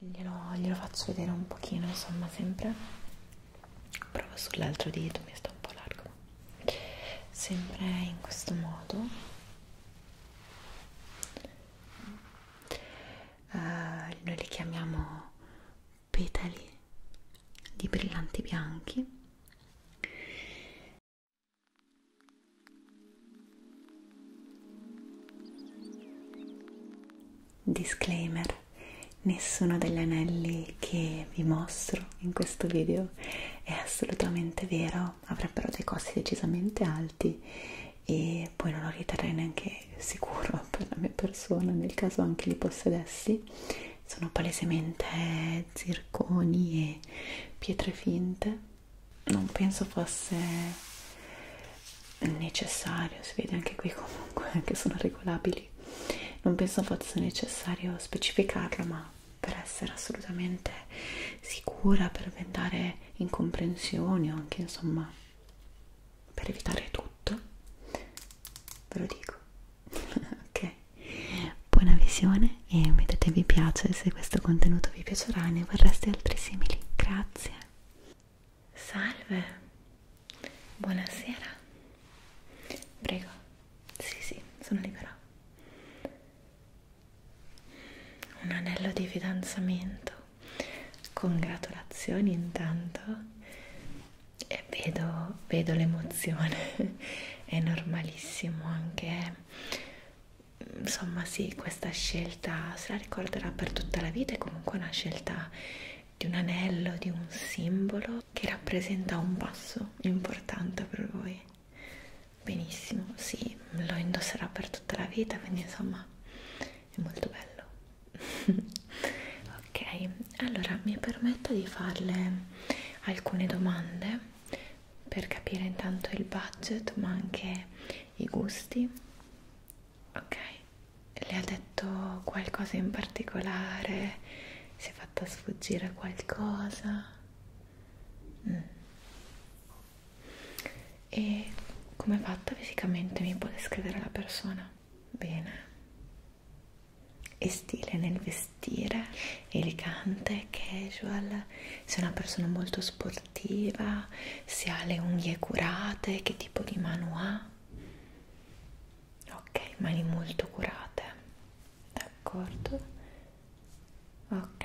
Glielo, glielo faccio vedere un pochino, insomma, sempre. Provo sull'altro dito, mi sta un po' largo. Sempre in questo modo. Uh, noi li chiamiamo petali di brillanti bianchi. Disclaimer, nessuno degli anelli che vi mostro in questo video è assolutamente vero, avrebbero dei costi decisamente alti e poi non lo riterrei neanche sicuro per la mia persona nel caso anche li possedessi. Sono palesemente zirconi e pietre finte. Non penso fosse necessario, si vede anche qui comunque che sono regolabili, non penso fosse necessario specificarlo, ma per essere assolutamente sicura, per evitare incomprensioni o anche insomma per evitare tutto, ve lo dico. ok, buona visione e mettete vi piace se questo contenuto vi piacerà e ne vorreste altri simili. Grazie. Salve, buonasera. Prego, sì, sì, sono libera. Un anello di fidanzamento. Congratulazioni intanto. E vedo, vedo l'emozione. È normalissimo anche. Insomma, sì, questa scelta scelta, se la ricorderà per tutta la vita, è comunque una scelta di un anello, di un simbolo che rappresenta un passo importante per voi. Benissimo, sì, lo indosserà per tutta la vita, quindi insomma è molto bello. ok, allora mi permetto di farle alcune domande per capire intanto il budget ma anche i gusti Ok, le ha detto qualcosa in particolare? Si è fatta sfuggire qualcosa? Mm. E come è fatta fisicamente? Mi può descrivere la persona? Bene. E stile nel vestire, elegante, casual, sei una persona molto sportiva, se ha le unghie curate, che tipo di mano ha. Ok, mani molto curate, d'accordo? Ok,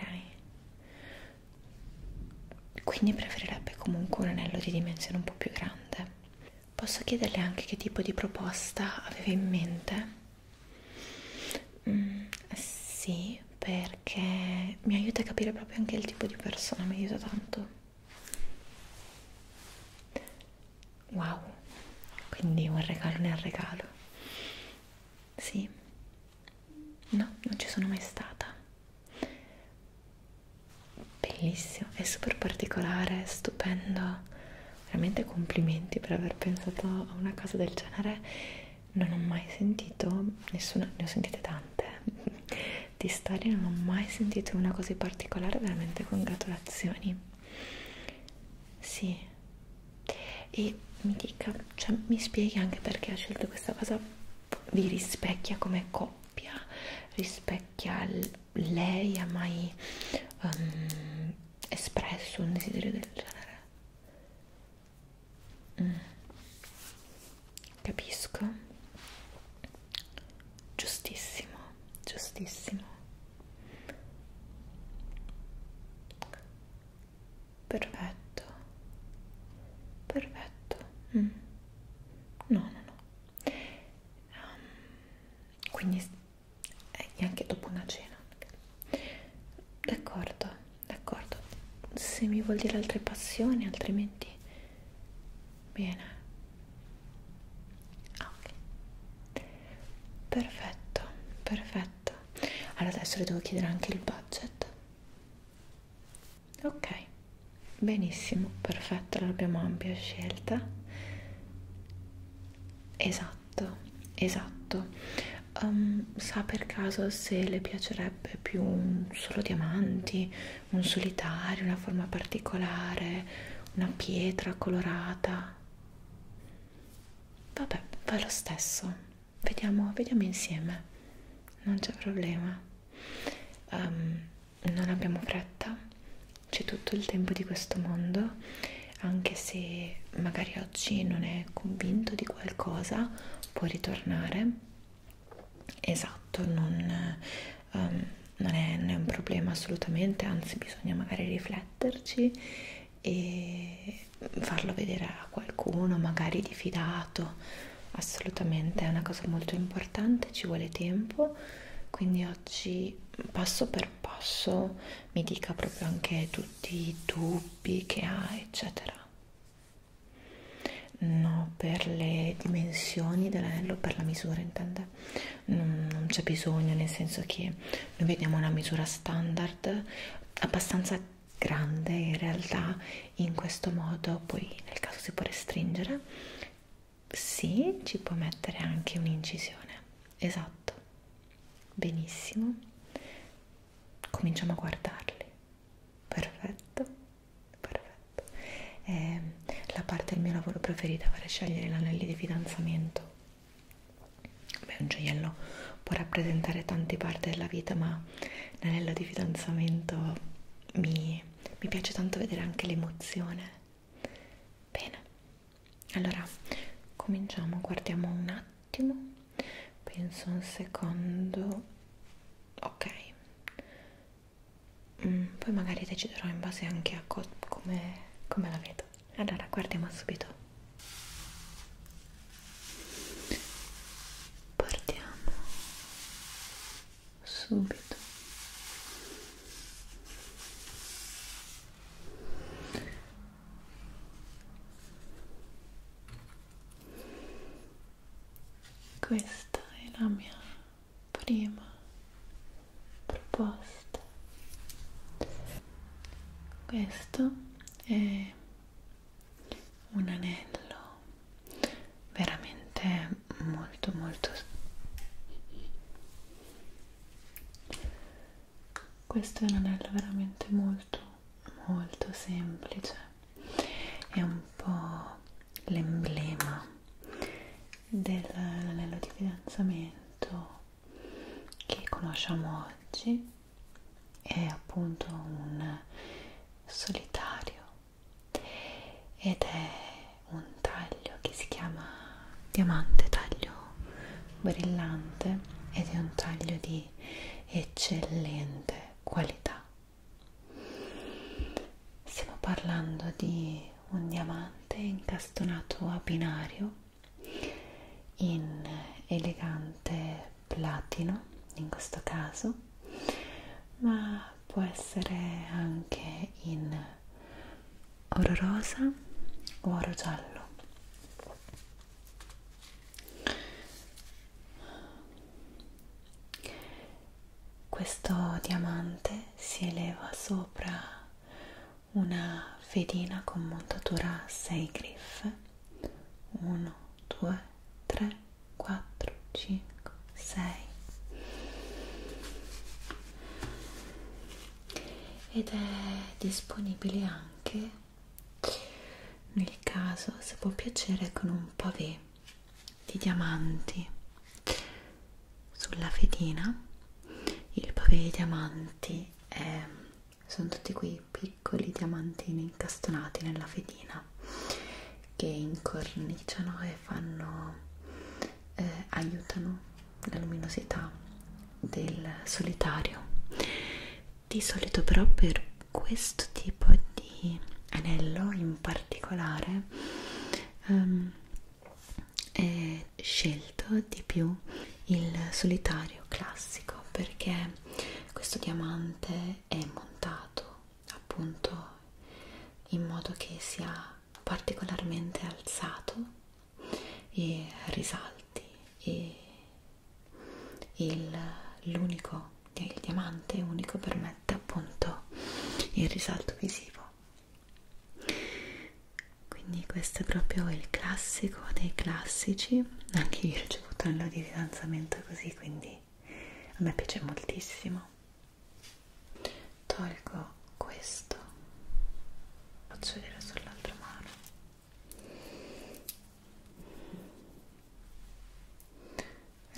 quindi preferirebbe comunque un anello di dimensione un po' più grande. Posso chiederle anche che tipo di proposta aveva in mente? Mm, sì, perché mi aiuta a capire proprio anche il tipo di persona, mi aiuta tanto wow quindi un regalo nel regalo sì no non ci sono mai stata bellissimo è super particolare stupendo veramente complimenti per aver pensato a una cosa del genere non ho mai sentito nessuna ne ho sentite tante di Stari non ho mai sentito una così particolare, veramente congratulazioni. Sì. E mi dica, cioè mi spieghi anche perché ha scelto questa cosa, vi rispecchia come coppia, rispecchia lei, ha mai um, espresso un desiderio del genere? Mm capisco giustissimo giustissimo perfetto perfetto mm. no no no um, quindi eh, anche dopo una cena d'accordo d'accordo se mi vuol dire altre passioni altrimenti Bene. Ah, ok. Perfetto, perfetto. Allora adesso le devo chiedere anche il budget. Ok. Benissimo, perfetto, allora abbiamo ampia scelta. Esatto, esatto. Um, sa per caso se le piacerebbe più solo diamanti un solitario, una forma particolare, una pietra colorata. Vabbè, va lo stesso. Vediamo, vediamo insieme. Non c'è problema. Um, non abbiamo fretta. C'è tutto il tempo di questo mondo, anche se magari oggi non è convinto di qualcosa, può ritornare Esatto, non, um, non, è, non è un problema assolutamente, anzi bisogna magari rifletterci e farlo vedere a qualcuno, magari di fidato, assolutamente è una cosa molto importante, ci vuole tempo, quindi oggi passo per passo mi dica proprio anche tutti i dubbi che ha, eccetera. No, per le dimensioni dell'anello, per la misura intende, non, non c'è bisogno, nel senso che noi vediamo una misura standard abbastanza grande in realtà in questo modo, poi nel caso si può restringere, sì, ci può mettere anche un'incisione, esatto, benissimo, cominciamo a guardarli, perfetto perfetto è ehm, la parte del mio lavoro preferita per scegliere l'anelli di fidanzamento Beh, un gioiello può rappresentare tante parti della vita ma l'anello di fidanzamento mi, mi piace tanto vedere anche l'emozione bene allora cominciamo guardiamo un attimo penso un secondo ok Mm, poi magari deciderò in base anche a co come, come la vedo. Allora, guardiamo subito. Partiamo subito questa è la mia prima proposta. Questo è un anello veramente molto molto questo è un anello veramente molto molto semplice è un po' l'emblema dell'anello di fidanzamento che conosciamo oggi è appunto un solitario ed è un taglio che si chiama diamante taglio brillante ed è un taglio di eccellente qualità Stiamo parlando di un diamante incastonato a binario in elegante platino in questo caso, ma può essere anche in oro rosa o oro giallo questo diamante si eleva sopra una fedina con montatura 6 griffe 1 2 3 4 5 6 ed è disponibile anche nel caso se può piacere con un pavé di diamanti sulla fedina il pavé di diamanti è, sono tutti quei piccoli diamantini incastonati nella fedina che incorniciano e fanno eh, aiutano la luminosità del solitario di solito però per questo tipo di anello in particolare um, è scelto di più il solitario classico perché questo diamante è montato appunto in modo che sia particolarmente alzato e risalti e l'unico che il diamante unico permette appunto il risalto visivo quindi questo è proprio il classico dei classici anche io ho ricevuto anello di fidanzamento così quindi a me piace moltissimo tolgo questo faccio vedere sull'altra mano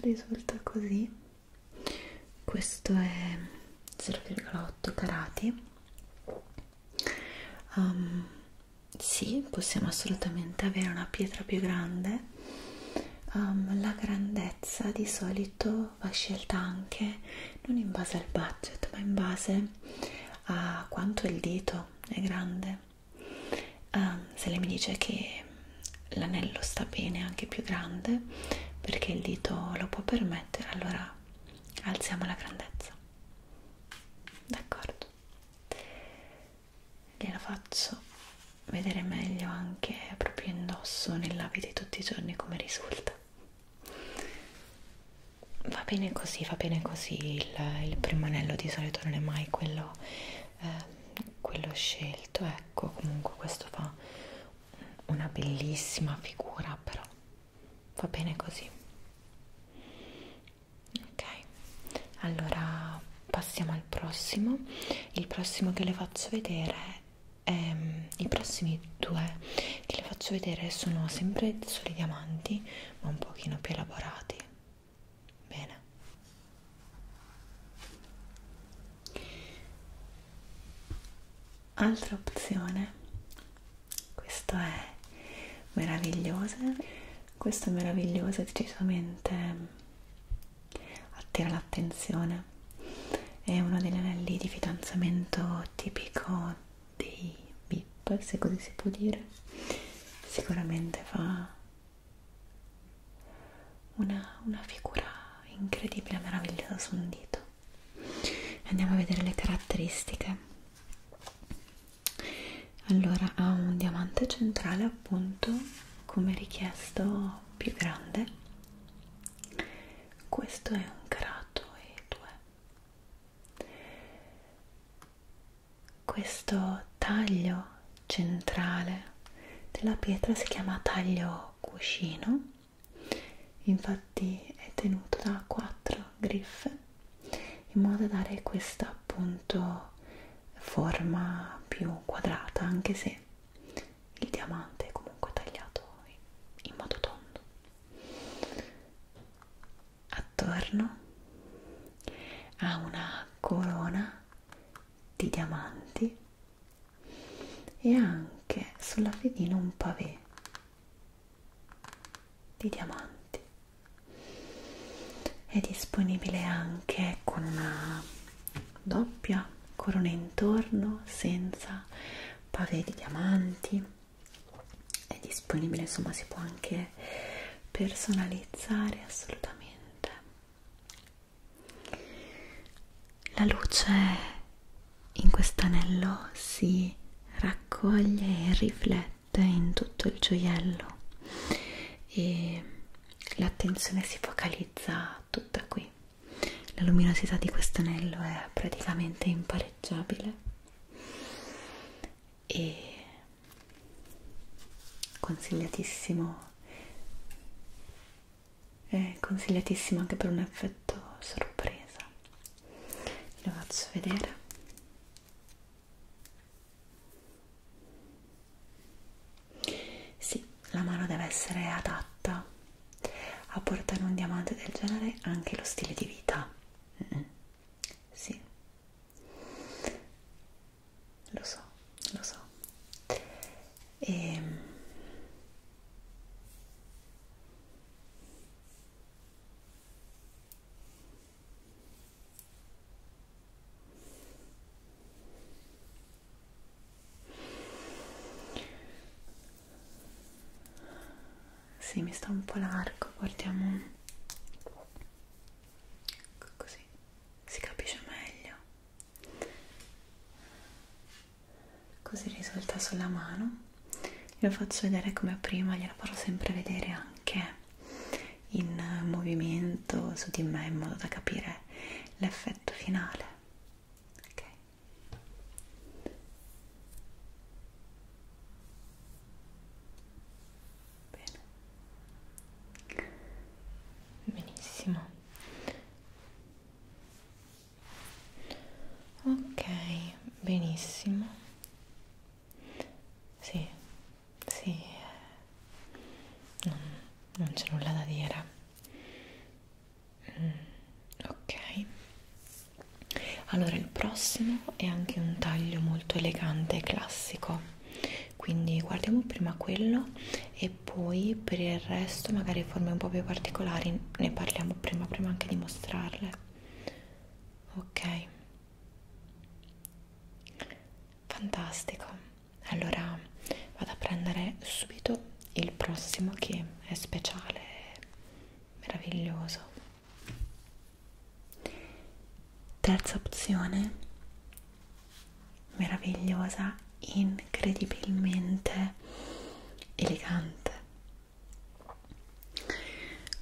risulta così questo è 0,8 carati um, sì possiamo assolutamente avere una pietra più grande um, la grandezza di solito va scelta anche non in base al budget ma in base a quanto il dito è grande um, se lei mi dice che l'anello sta bene anche più grande perché il dito lo può permettere allora alziamo la grandezza d'accordo gliela faccio vedere meglio anche proprio indosso nell'abito di tutti i giorni come risulta va bene così va bene così il, il primo anello di solito non è mai quello eh, quello scelto ecco secco comunque questo fa una bellissima figura però va bene così ok allora passiamo al prossimo il prossimo che le faccio vedere è, ehm, i prossimi due che le faccio vedere sono sempre solo i diamanti ma un pochino più elaborati Bene. Altra opzione, questo è meraviglioso, questo è meraviglioso e decisamente attira l'attenzione. È uno degli anelli di fidanzamento tipico dei bip, se così si può dire. Sicuramente fa una, una figura incredibile, meravigliosa su un dito. Andiamo a vedere le caratteristiche. Allora, ha un diamante centrale, appunto, come richiesto più grande. Questo è un carato e due. Questo taglio pietra centrale della pietra si chiama taglio cuscino infatti è tenuto da quattro griffe in modo da dare questa appunto forma più quadrata anche se il diamante è comunque tagliato in modo tondo attorno ha una corona di diamanti e anche sulla fedina un pavé di diamanti è disponibile anche con una doppia corona intorno senza pavé di diamanti è disponibile insomma si può anche personalizzare assolutamente la luce in quest'anello si raccoglie e riflette in tutto il gioiello e l'attenzione si focalizza tutta qui. La luminosità di questo anello è praticamente impareggiabile e consigliatissimo è consigliatissimo anche per un effetto sorpresa lo faccio vedere sì, la mano deve essere adatta a portare un diamante del genere anche lo stile di vita mm -mm. sì lo so, lo so. E... Ehm. Sì, mi sta un po' largo, guardiamo così si capisce meglio così risulta sulla mano glielo faccio vedere come prima glielo farò sempre vedere anche in movimento su di me in modo da capire l'effetto finale ok Bene. benissimo ok benissimo sì sì eh, non, non c'è nulla da dire mm, ok allora il prossimo è anche un taglio molto elegante e classico quindi guardiamo prima quello e poi per il resto magari forme un po' più particolari ne parliamo prima prima anche di mostrarle ok fantastico allora vado a prendere subito il prossimo che è speciale meraviglioso terza opzione meravigliosa, incredibilmente elegante.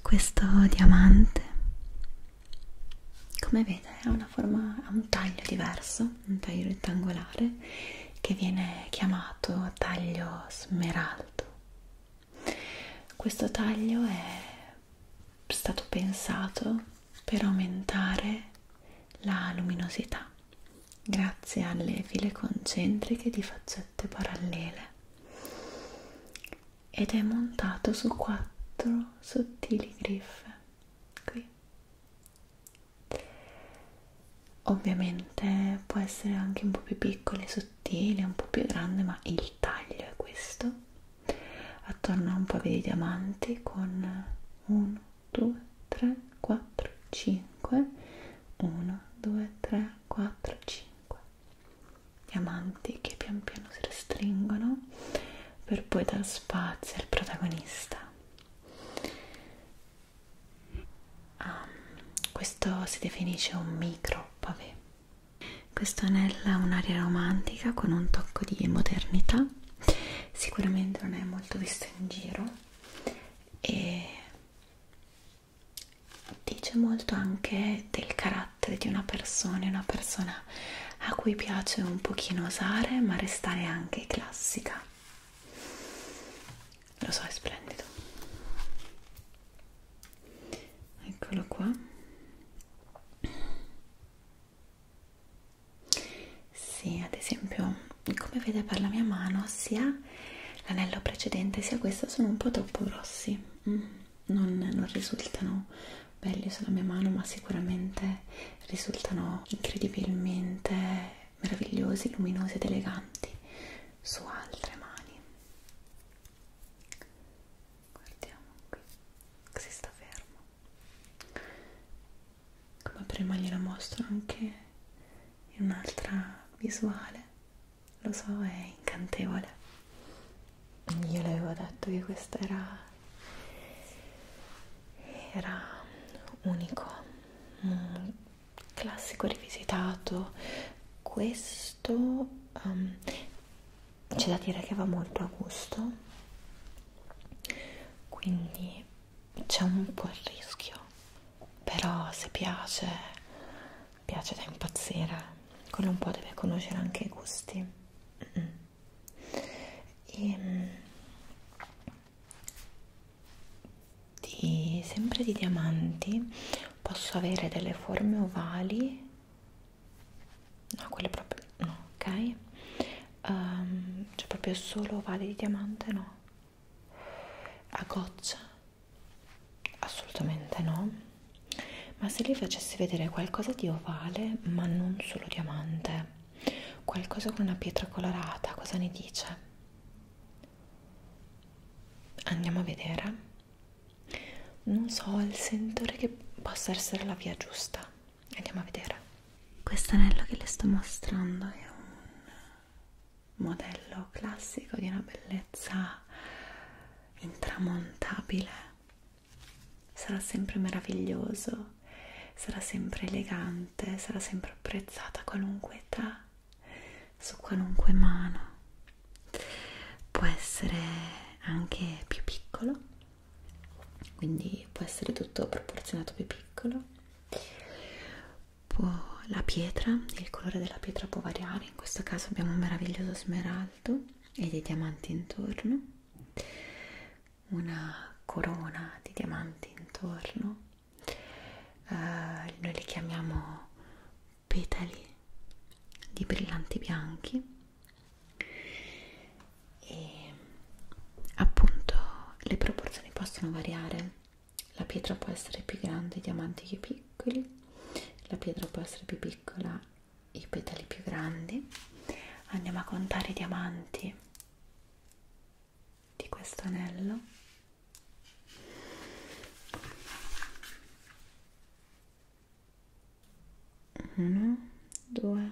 Questo diamante, come vede, ha una forma, ha un taglio diverso, un taglio rettangolare che viene chiamato taglio smeraldo. Questo taglio è stato pensato per aumentare la luminosità grazie alle file concentriche di faccette parallele ed è montato su quattro sottili griffe qui ovviamente può essere anche un po' più piccolo e sottile un po' più grande ma il taglio è questo attorno a un po' di diamanti con 1 2 3 4 5 1 2 3 4 5 diamanti che pian piano si restringono per poi dar spazio al protagonista ah, questo si definisce un micro pavé questo anello ha un'aria romantica con un tocco di modernità sicuramente non è molto visto in giro e dice molto anche del carattere di una persona, una persona a cui piace un pochino osare ma restare anche classica. Lo so, è splendido. Eccolo qua. Sì, ad esempio, come vede per la mia mano, sia l'anello precedente sia questo sono un po' troppo grossi, mm, non, non risultano belli sulla mia mano, ma sicuramente risultano incredibilmente meravigliosi, luminosi ed eleganti su altre mani. Guardiamo qui, così sta fermo come prima gliela mostro anche in un'altra visuale lo so è incantevole io le avevo detto che questo era era unico un mm, classico rivisitato questo um, c'è da dire che va molto a gusto quindi c'è un po' il rischio però se piace piace da impazzire quello un po' deve conoscere anche i gusti e, ehm, di, sempre di diamanti posso avere delle forme ovali no quelle proprio no ok um, ehm, c'è cioè proprio solo ovali di diamante no a goccia assolutamente no ma se li facessi vedere qualcosa di ovale ma non solo diamante qualcosa con una pietra colorata cosa ne dice andiamo a vedere non so il sentore che possa essere la via giusta andiamo a vedere questo anello che le sto mostrando è un modello classico di una bellezza intramontabile sarà sempre meraviglioso sarà sempre elegante sarà sempre apprezzata a qualunque età su qualunque mano può essere anche più piccolo quindi può essere tutto proporzionato più piccolo può, la pietra, il colore della pietra può variare in questo caso abbiamo un meraviglioso smeraldo e dei diamanti intorno una corona di diamanti intorno uh, noi li chiamiamo petali di brillanti bianchi e appunto le proporzioni possono variare la pietra può essere più grande i diamanti più piccoli la pietra può essere più piccola i petali più grandi andiamo a contare i diamanti di questo anello uno, due,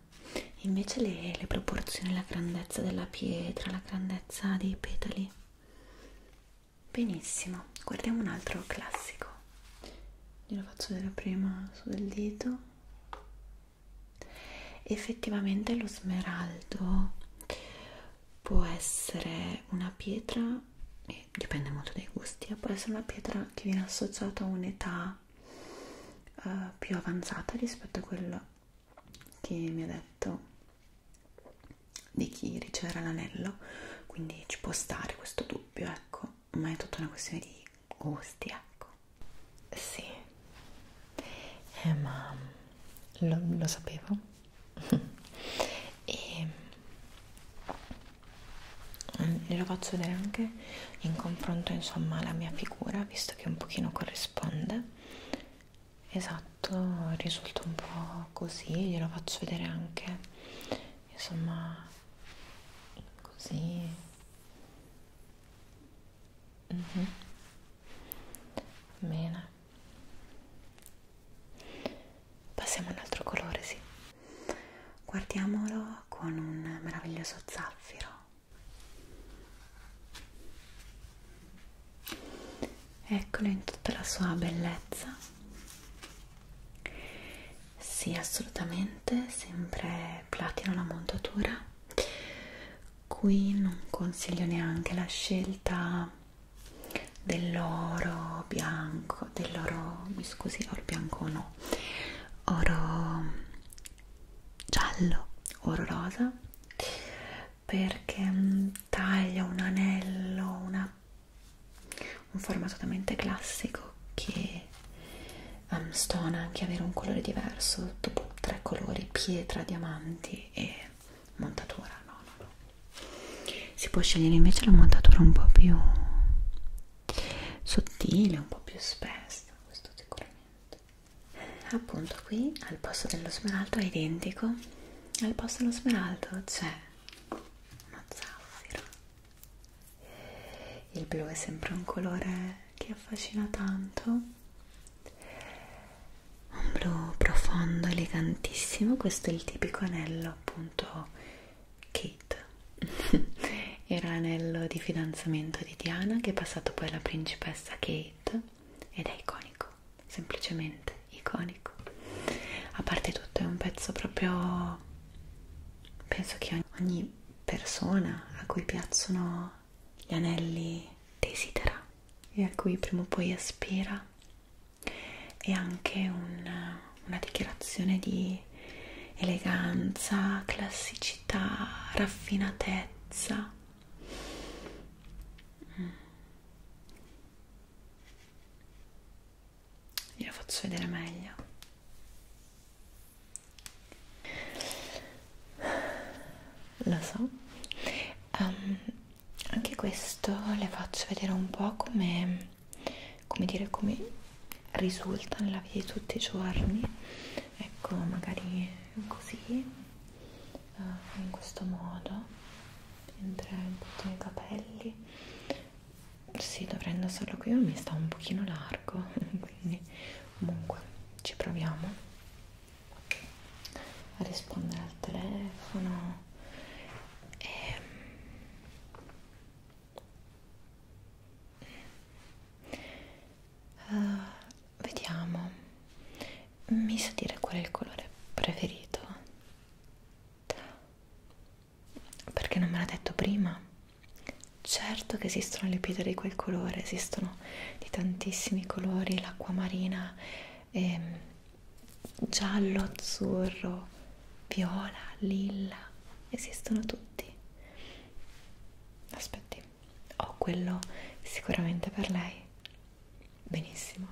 invece le, le proporzioni, la grandezza della pietra, la grandezza dei petali. Benissimo, guardiamo un altro classico. Glielo faccio vedere prima su del dito. Effettivamente lo smeraldo può essere una pietra, e dipende molto dai gusti, eh, può essere una pietra che viene associata a un'età uh, più avanzata rispetto a quella che mi ha detto di chi riceverà l'anello, quindi ci può stare questo dubbio, ecco, ma è tutta una questione di gusti, ecco. Sì, eh, ma lo, lo sapevo e mm, lo faccio vedere anche in confronto, insomma, alla mia figura, visto questo che un pochino corrisponde esatto risulta un po' così glielo faccio vedere anche insomma così mm -hmm. bene passiamo all'altro colore sì guardiamolo con un meraviglioso zaffiro eccolo in tutta la sua bellezza sì assolutamente sempre platino la montatura qui non consiglio neanche la scelta dell'oro bianco dell'oro mi scusi oro bianco no oro giallo oro rosa perché mm, taglia un anello una, un formato totalmente classico che um, stona anche avere un colore diverso dopo tre colori pietra diamanti e montatura no, no, no. si può scegliere invece la montatura un po' più sottile un po' più spessa questo sicuramente appunto qui al posto dello smeraldo è identico al posto dello smeraldo c'è uno zaffiro il blu è sempre un colore che affascina tanto un blu profondo elegantissimo questo è il tipico anello appunto kit era l'anello di fidanzamento di Diana che è passato poi alla principessa Kate ed è iconico, semplicemente iconico. A parte tutto è un pezzo proprio... penso che ogni persona a cui piacciono gli anelli desidera e a cui prima o poi aspira è anche un, una dichiarazione di eleganza, classicità, raffinatezza qua glielo faccio vedere meglio lo so um, anche questo le faccio vedere un po' come come dire come risulta nella vita di tutti i giorni ecco magari così uh, in questo modo entrare un po' i capelli sì dovrei indossarlo qui ma mi sta un pochino largo quindi comunque ci proviamo a rispondere al telefono e ehm. Uh, vediamo, mi sa dire qual è il colore preferito? Perché non me l'ha detto prima? Certo che esistono le pietre di quel colore, esistono di tantissimi colori, l'acqua marina, ehm, giallo, azzurro, viola, lilla, esistono tutti. Aspetti, ho quello sicuramente per lei. Benissimo,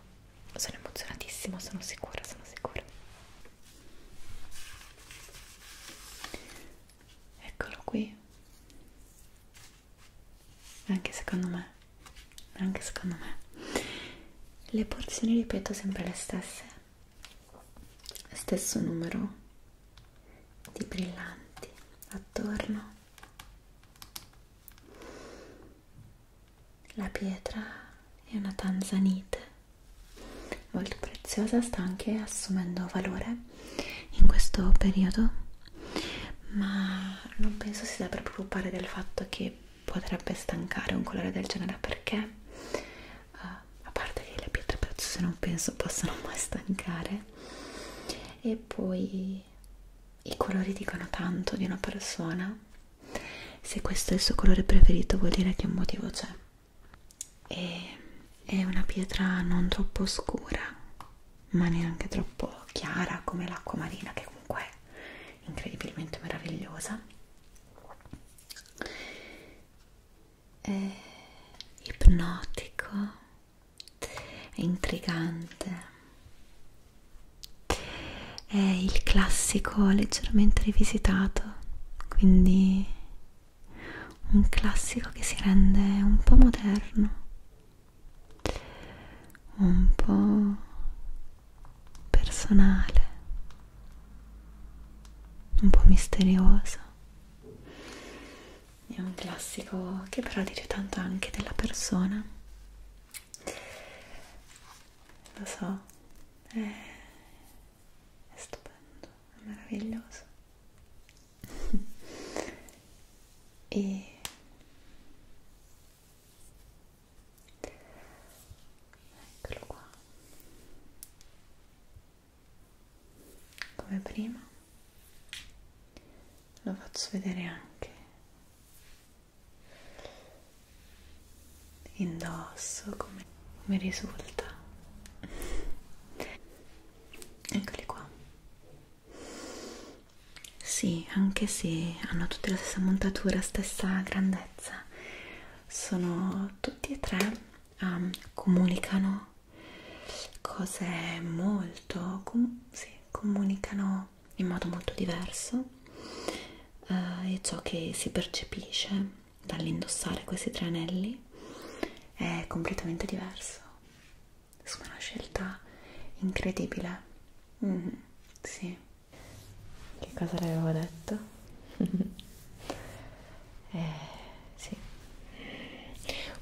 sono emozionatissima, sono sicura, sono sicura. Eccolo qui. Anche secondo me, anche secondo me. Le porzioni ripeto sempre le stesse. Stesso numero di brillanti attorno. La pietra è una tanzanite molto preziosa, sta anche assumendo valore in questo periodo, ma non penso si debba preoccupare del fatto che potrebbe stancare un colore del genere perché uh, a parte che le pietre preziose non penso possano mai stancare e poi i colori dicono tanto di una persona se questo è il suo colore preferito vuol dire che un motivo c'è e è una pietra non troppo oscura ma neanche troppo chiara come l'acqua marina che comunque è incredibilmente meravigliosa è eh, ipnotico è intrigante è il classico leggermente rivisitato quindi un classico che si rende un po' moderno un po' personale un po' misterioso è un classico che però dice tanto anche della persona lo so è, è stupendo è meraviglioso e eccolo qua come prima lo faccio vedere anche indosso come mi risulta eccoli qua sì anche se hanno tutte la stessa montatura stessa grandezza sono tutti e tre um, comunicano cose molto com sì, comunicano in modo molto diverso eh, e ciò che si percepisce dall'indossare questi tre anelli è completamente diverso insomma è una scelta incredibile mm, sì che cosa le avevo detto? eh, sì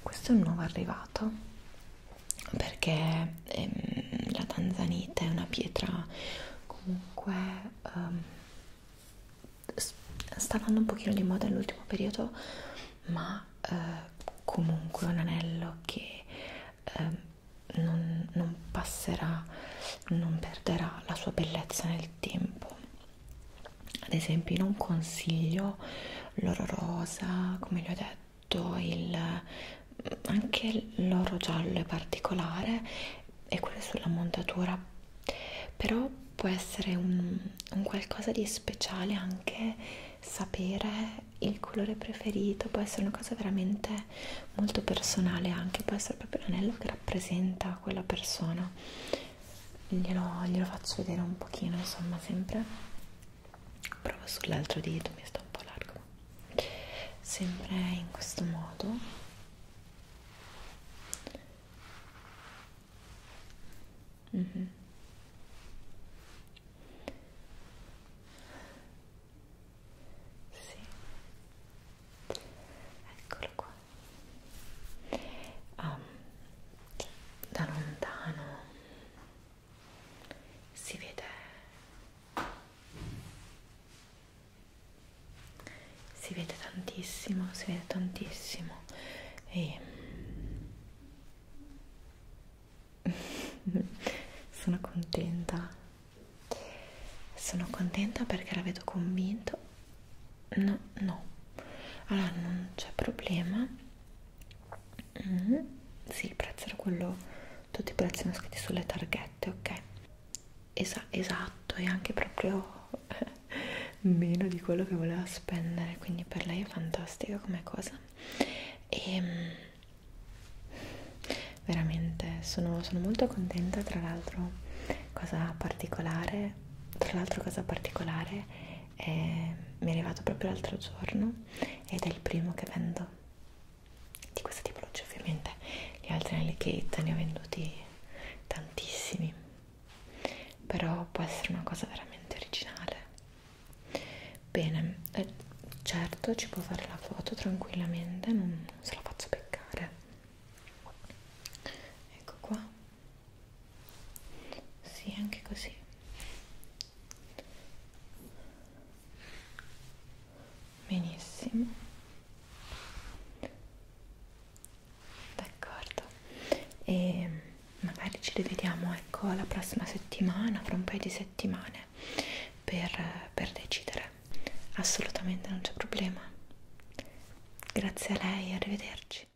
questo è un nuovo arrivato delicata perché ehm, la tanzanite è una pietra comunque ehm, sta andando un pochino di moda nell'ultimo periodo ma eh, comunque un anello che ehm, non, non passerà non perderà la sua bellezza nel tempo ad esempio non consiglio l'oro rosa come vi ho detto il, anche l'oro giallo è particolare e quello sulla montatura però può essere un, un qualcosa di speciale anche sapere il colore preferito può essere una cosa veramente molto personale anche può essere proprio l'anello che rappresenta quella persona glielo, glielo faccio vedere un pochino insomma sempre provo sull'altro dito mi sta un po' largo sempre in questo modo mm -hmm. sì eccolo qua um, da lontano si vede si vede tantissimo si vede tantissimo e sono contenta sono contenta perché la vedo convinto no no allora non c'è problema Mm, sì, il prezzo era quello, tutti i prezzi sono scritti sulle targhette, ok? Esa, esatto, e anche proprio meno di quello che voleva spendere, quindi per lei è fantastica come cosa. E ehm, veramente sono, sono molto contenta, tra l'altro, cosa particolare, tra l'altro cosa particolare eh, mi è arrivato proprio l'altro giorno ed è il primo che vendo di questa tipologia ovviamente gli altri nelle Kate ne ho venduti tantissimi però può essere una cosa veramente originale bene eh, certo ci può fare la foto tranquillamente non, non se la faccio peccare ecco qua sì anche così benissimo d'accordo e magari ci rivediamo ecco la prossima settimana fra un paio di settimane per, per decidere assolutamente non c'è problema grazie a lei arrivederci